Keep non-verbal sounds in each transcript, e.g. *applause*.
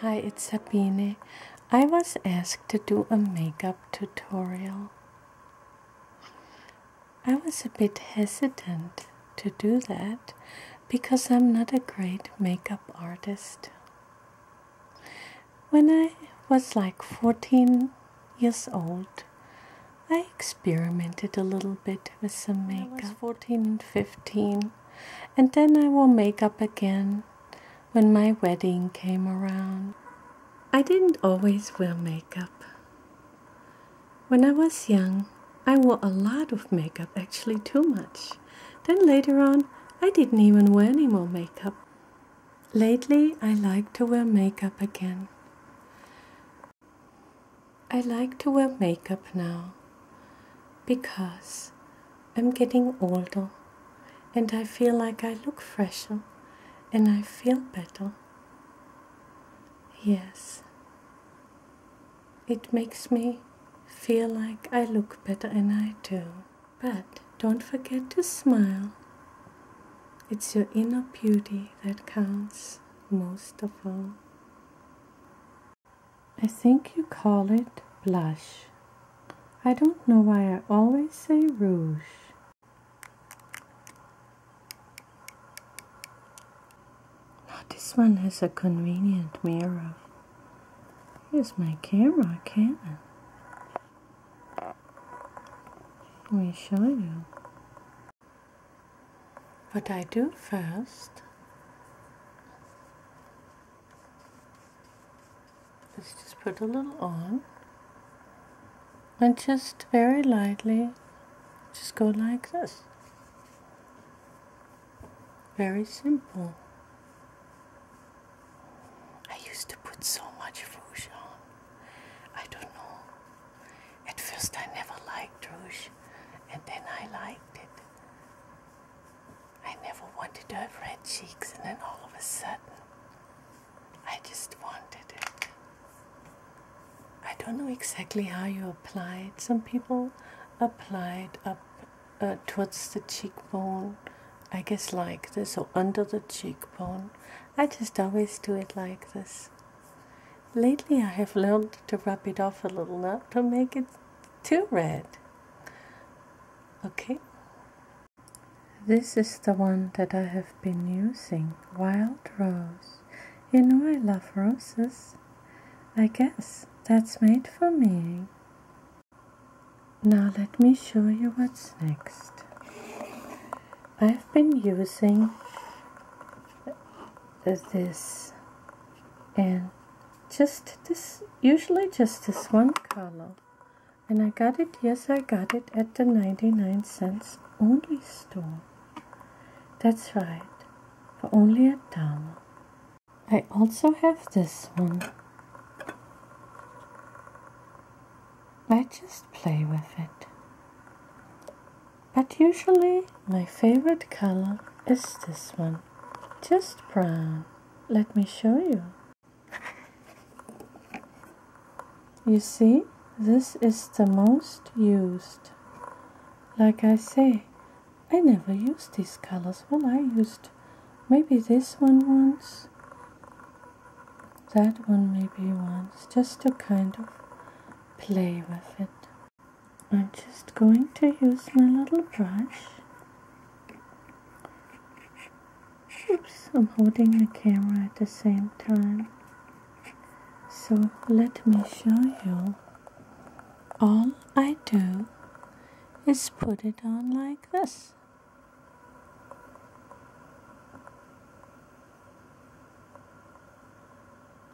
Hi, it's Sabine. I was asked to do a makeup tutorial. I was a bit hesitant to do that because I'm not a great makeup artist. When I was like 14 years old, I experimented a little bit with some makeup. I was 14 and 15, and then I wore makeup again when my wedding came around. I didn't always wear makeup. When I was young, I wore a lot of makeup, actually too much. Then later on, I didn't even wear any more makeup. Lately, I like to wear makeup again. I like to wear makeup now because I'm getting older and I feel like I look fresher and I feel better. Yes, it makes me feel like I look better and I do. But don't forget to smile. It's your inner beauty that counts most of all. I think you call it blush. I don't know why I always say rouge. Oh, this one has a convenient mirror. Here's my camera, Canon. Let me show you. What I do first is just put a little on and just very lightly just go like this. Very simple. I used to put so much rouge on. I don't know. At first I never liked rouge and then I liked it. I never wanted to have red cheeks and then all of a sudden I just wanted it. I don't know exactly how you apply it. Some people apply it up uh, towards the cheekbone, I guess like this, or under the cheekbone. I just always do it like this. Lately, I have learned to rub it off a little, now to make it too red. Okay? This is the one that I have been using, Wild Rose. You know I love roses. I guess that's made for me. Now let me show you what's next. I've been using this and just this usually just this one color and I got it yes I got it at the 99 cents only store that's right for only a dollar I also have this one I just play with it. But usually my favorite color is this one, just brown. Let me show you. You see, this is the most used. Like I say, I never used these colors. Well, I used maybe this one once that one maybe once just to kind of play with it. I'm just going to use my little brush. Oops, I'm holding the camera at the same time. So let me show you. All I do is put it on like this.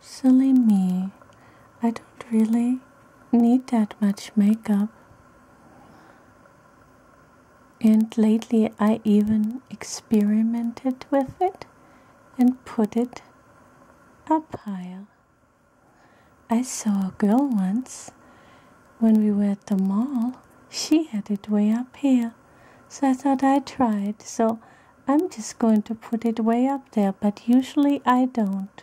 Silly me, I don't really need that much makeup. And lately I even experimented with it and put it up high. I saw a girl once when we were at the mall, she had it way up here. So I thought I tried. So I'm just going to put it way up there, but usually I don't.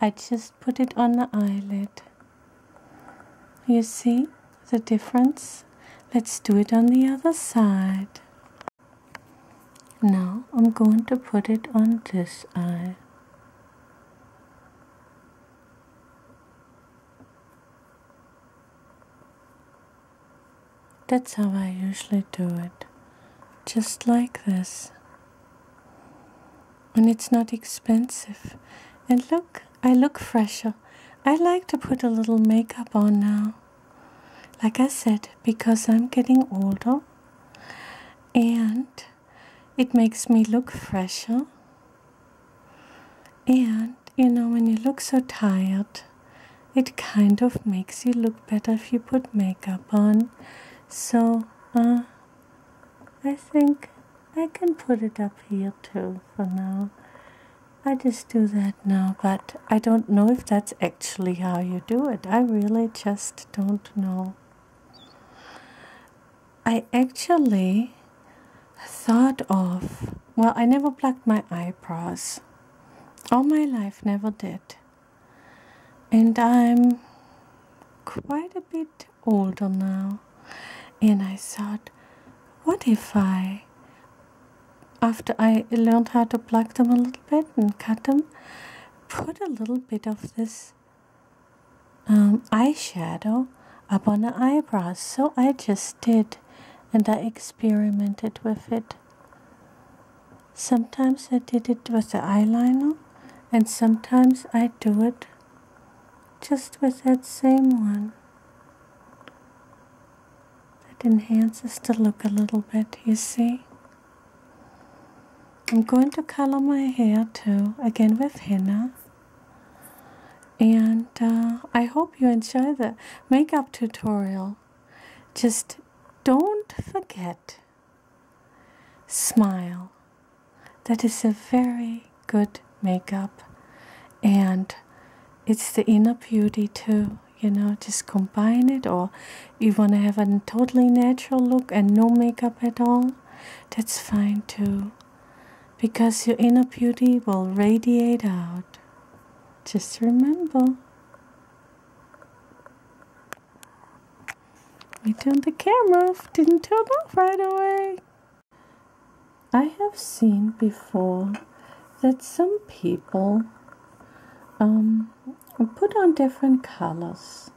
I just put it on the eyelid. You see the difference? Let's do it on the other side. Now I'm going to put it on this eye. That's how I usually do it, just like this. And it's not expensive. And look, I look fresher. I like to put a little makeup on now. Like I said, because I'm getting older and it makes me look fresher and you know, when you look so tired, it kind of makes you look better if you put makeup on. So, uh, I think I can put it up here too for now. I just do that now, but I don't know if that's actually how you do it. I really just don't know. I actually thought of, well, I never plucked my eyebrows. All my life, never did. And I'm quite a bit older now. And I thought, what if I, after I learned how to pluck them a little bit and cut them, put a little bit of this um, eyeshadow up on the eyebrows. So I just did and I experimented with it. Sometimes I did it with the eyeliner and sometimes I do it just with that same one. That enhances the look a little bit, you see. I'm going to color my hair too, again with henna and uh, I hope you enjoy the makeup tutorial. Just don't forget, smile. That is a very good makeup, and it's the inner beauty too. You know, just combine it, or you want to have a totally natural look and no makeup at all, that's fine too because your inner beauty will radiate out. Just remember. I turned the camera off, didn't turn off right away. I have seen before that some people um, put on different colors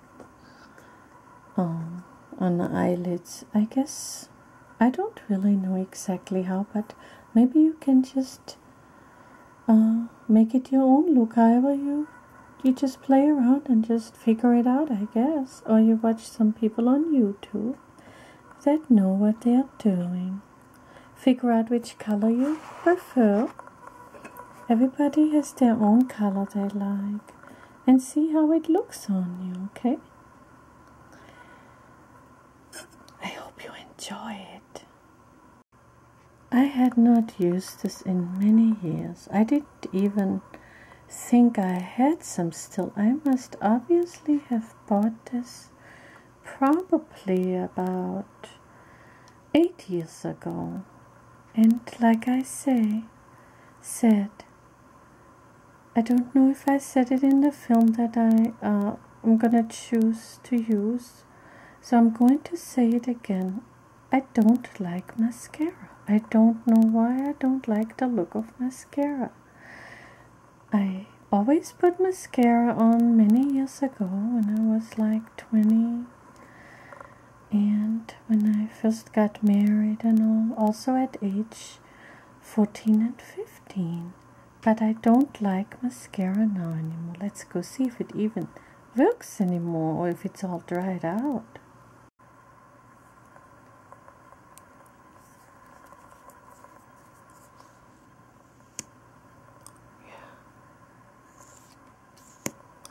um, on the eyelids. I guess I don't really know exactly how, but maybe you can just uh, make it your own look. However, you you just play around and just figure it out, I guess. Or you watch some people on YouTube that know what they are doing. Figure out which color you prefer. Everybody has their own color they like, and see how it looks on you. Okay. I hope you enjoy it. I had not used this in many years. I didn't even think I had some still. I must obviously have bought this probably about eight years ago. And like I say, said, I don't know if I said it in the film that I uh, I'm gonna choose to use so I'm going to say it again I don't like mascara I don't know why I don't like the look of mascara I always put mascara on many years ago when I was like 20 and when I first got married and all, also at age 14 and 15. But I don't like mascara now anymore. Let's go see if it even works anymore or if it's all dried out. Yeah.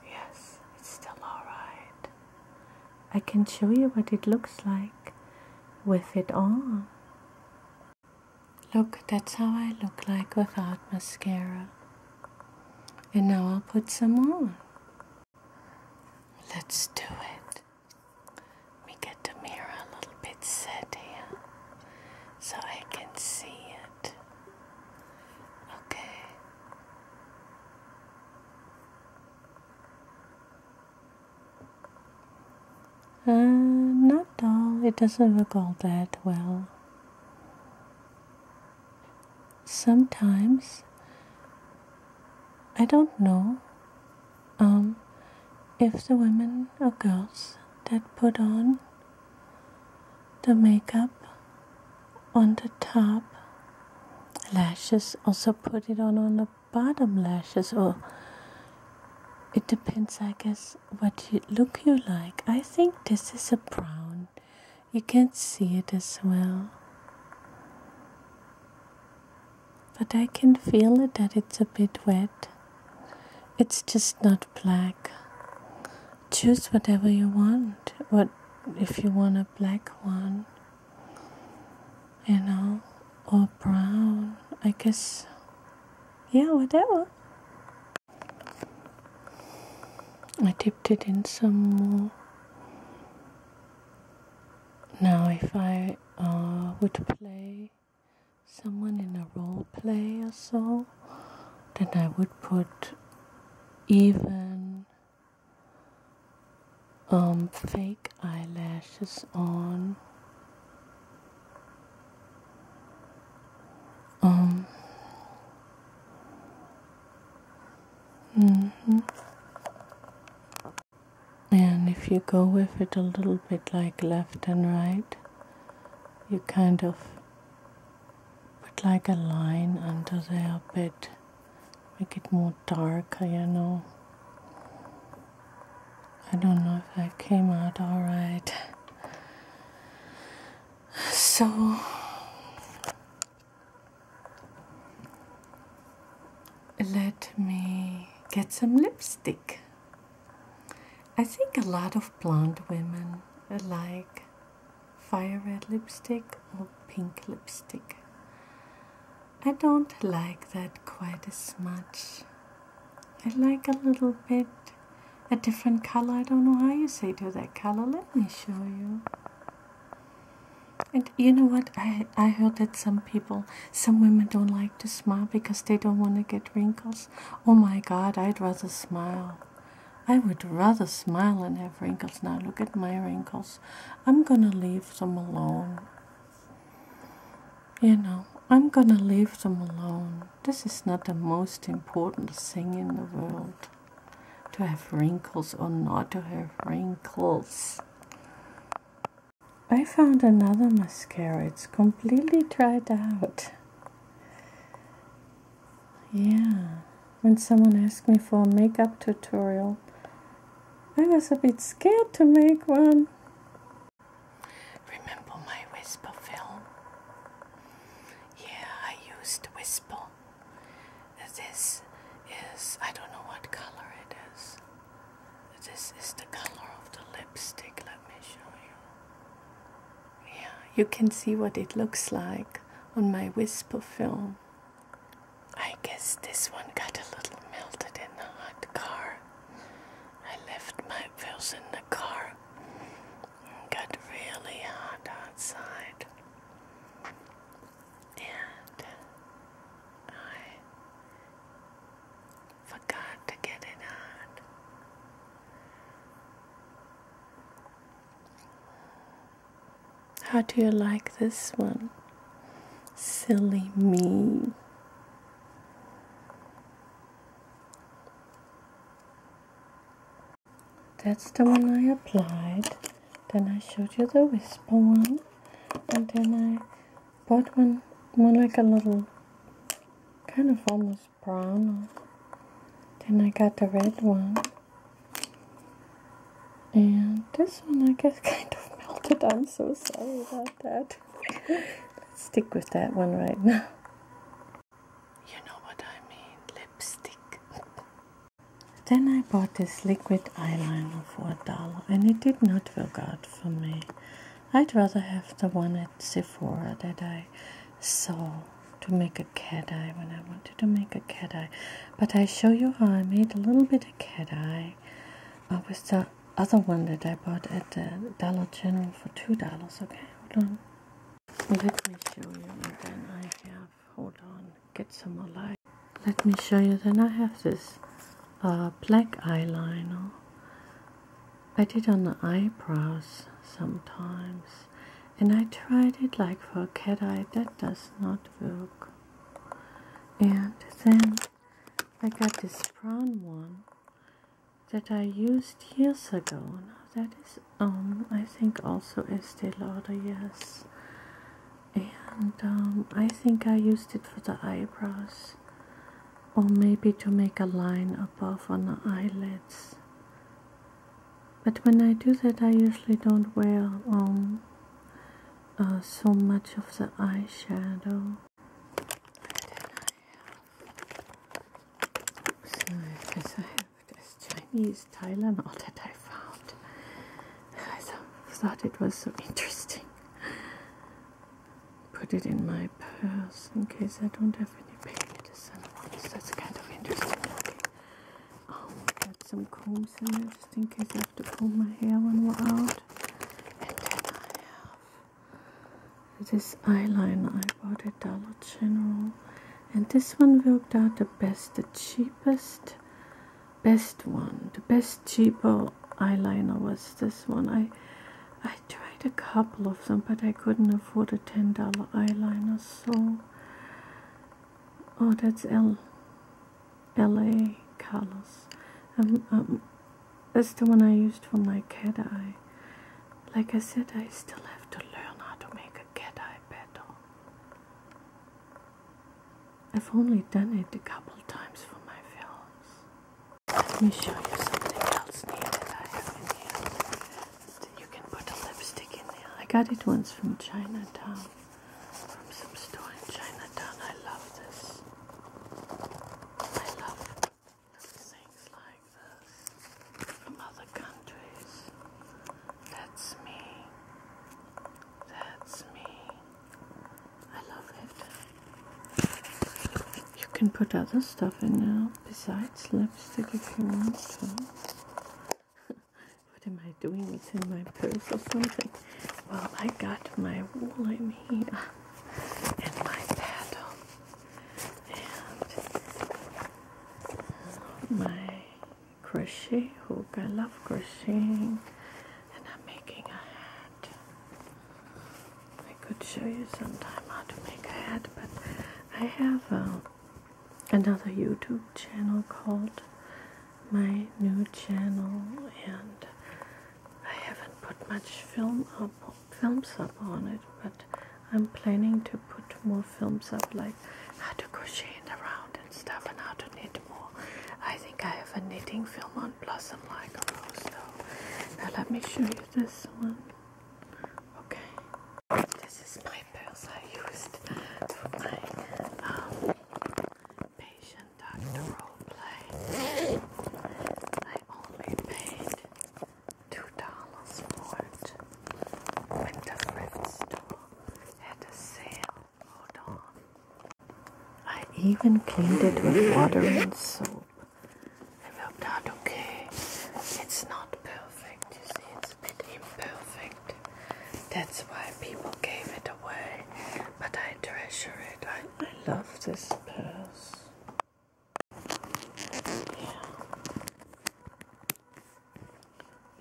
Yes, it's still all right. I can show you what it looks like with it on. Look, that's how I look like without mascara. And now I'll put some on. Let's do it. Let get the mirror a little bit set here so I can see it. Okay. Uh, not all. It doesn't work all that well. Sometimes, I don't know um, if the women or girls that put on the makeup on the top, lashes also put it on on the bottom lashes or it depends I guess what you, look you like. I think this is a brown. You can see it as well. But I can feel that it's a bit wet. It's just not black. Choose whatever you want. What if you want a black one? you know, or brown, I guess, yeah, whatever. I dipped it in some more. Now, if I uh, would play someone in a role play or so, then I would put even um, fake eyelashes on. Um, hmm And if you go with it a little bit like left and right, you kind of put like a line under there a bit make it more darker, you know. I don't know if that came out alright. So, let me get some lipstick. I think a lot of blonde women uh, like fire red lipstick or pink lipstick. I don't like that quite as much. I like a little bit a different color. I don't know how you say do that color. Let me show you. And you know what? I I heard that some people, some women don't like to smile because they don't want to get wrinkles. Oh my God! I'd rather smile. I would rather smile and have wrinkles now. Look at my wrinkles. I'm gonna leave them alone. You know, I'm gonna leave them alone. This is not the most important thing in the world. To have wrinkles or not to have wrinkles. I found another mascara. It's completely dried out. Yeah. When someone asked me for a makeup tutorial, I was a bit scared to make one. Remember my whisper film? Yeah, I used whisper. This is, I don't know what color it is. This is the color of the lipstick. Let me show you. Yeah, you can see what it looks like on my whisper film. I guess this one got a little melted in the hot car. I left my pills in the car. got really hot outside. And I forgot to get it on. How do you like this one? Silly me. That's the one I applied. Then I showed you the whisper one. And then I bought one, more like a little, kind of almost brown. Then I got the red one. And this one I guess *laughs* kind of melted. I'm so sorry about that. Let's stick with that one right now. You know what I mean, lipstick. then I bought this liquid eyeliner for a dollar and it did not work out for me. I'd rather have the one at Sephora that I saw to make a cat eye when I wanted to make a cat eye. But I show you how I made a little bit of cat eye uh, with the other one that I bought at the Dollar General for two dollars. Okay, hold on. Let me show you, then I have. Hold on, get some more light. Let me show you. Then I have this uh, black eyeliner. I did on the eyebrows sometimes, and I tried it like for a cat eye. That does not work and then I got this brown one that I used years ago. that is um, I think also Estee Lauder, yes. And um, I think I used it for the eyebrows or maybe to make a line above on the eyelids. But when I do that I usually don't wear um, uh, so much of the eyeshadow. So this I have this Chinese Tylenol that I found. I thought it was so interesting. Put it in my purse in case I don't have any baby medicine. That's kind of interesting. Oh, got some combs in there just in case I have to comb my hair when we're out. And then I have this eyeliner I bought at Dollar General. And this one worked out the best, the cheapest, best one. The best cheaper eyeliner was this one. I I tried a couple of them, but I couldn't afford a $10 eyeliner, so... Oh, that's L. LA colors. Um, um, that's the one I used for my cat eye. Like I said, I still have to learn how to make a cat eye better. I've only done it a couple times for my films. Let me show you something else neat I have in here. You can put lipstick in there. I got it once from Chinatown from some store in Chinatown. I love this. I love things like this from other countries. That's me. That's me. I love it. You can put other stuff in now besides lipstick if you want to what am I doing? It's in my purse or something. Well, I got my wooly me and my paddle and uh, my crochet hook. I love crocheting and I'm making a hat. I could show you sometime how to make a hat, but I have um, another YouTube channel called my new channel and I haven't put much film up films up on it but I'm planning to put more films up like how to crochet in the round and stuff and how to knit more. I think I have a knitting film on Blossom Like a Rose Now let me show you this one. Okay. This is my purse I used for my um, I only paid two dollars for it when the store had a sale. Hold on. I even cleaned it with water and soap. It worked out okay. It's not perfect, you see, it's a bit imperfect. That's why people gave it away, but I treasure it. I, I love this purse. Yeah.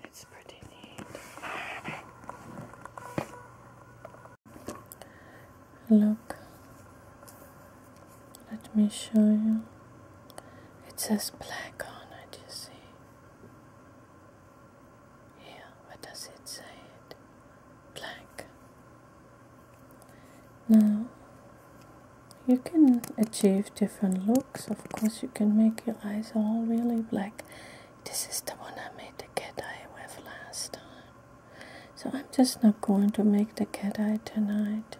It's pretty neat. Look. Let me show you. It says black on it, you see. Here, what does it say? It black. Now, you can achieve different looks. Of course, you can make your eyes all really black. This is the one I made the cat eye with last time. So I'm just not going to make the cat eye tonight.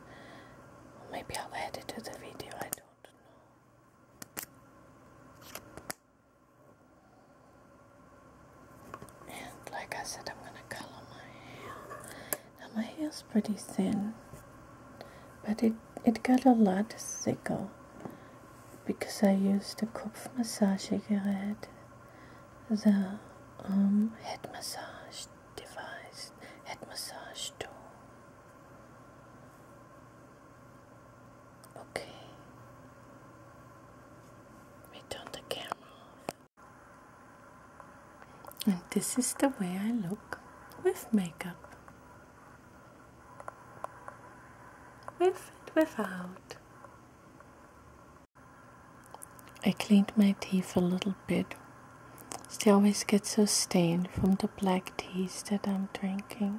maybe I'll add it to the video. I don't know. And like I said, I'm gonna color my hair. Now my hair is pretty thin, but it it got a lot thicker because I used the Kopf Massagegerät, the um, head massage device, head massage tool. Okay. We turn the camera off. And this is the way I look with makeup. With and without. I cleaned my teeth a little bit. They always get so stained from the black teas that I'm drinking.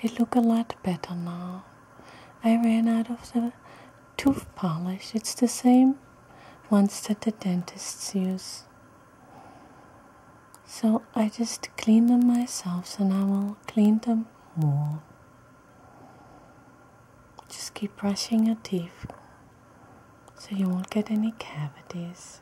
They look a lot better now. I ran out of the tooth polish. It's the same ones that the dentists use. So I just clean them myself and I will clean them more. Just keep brushing your teeth so you won't get any cavities.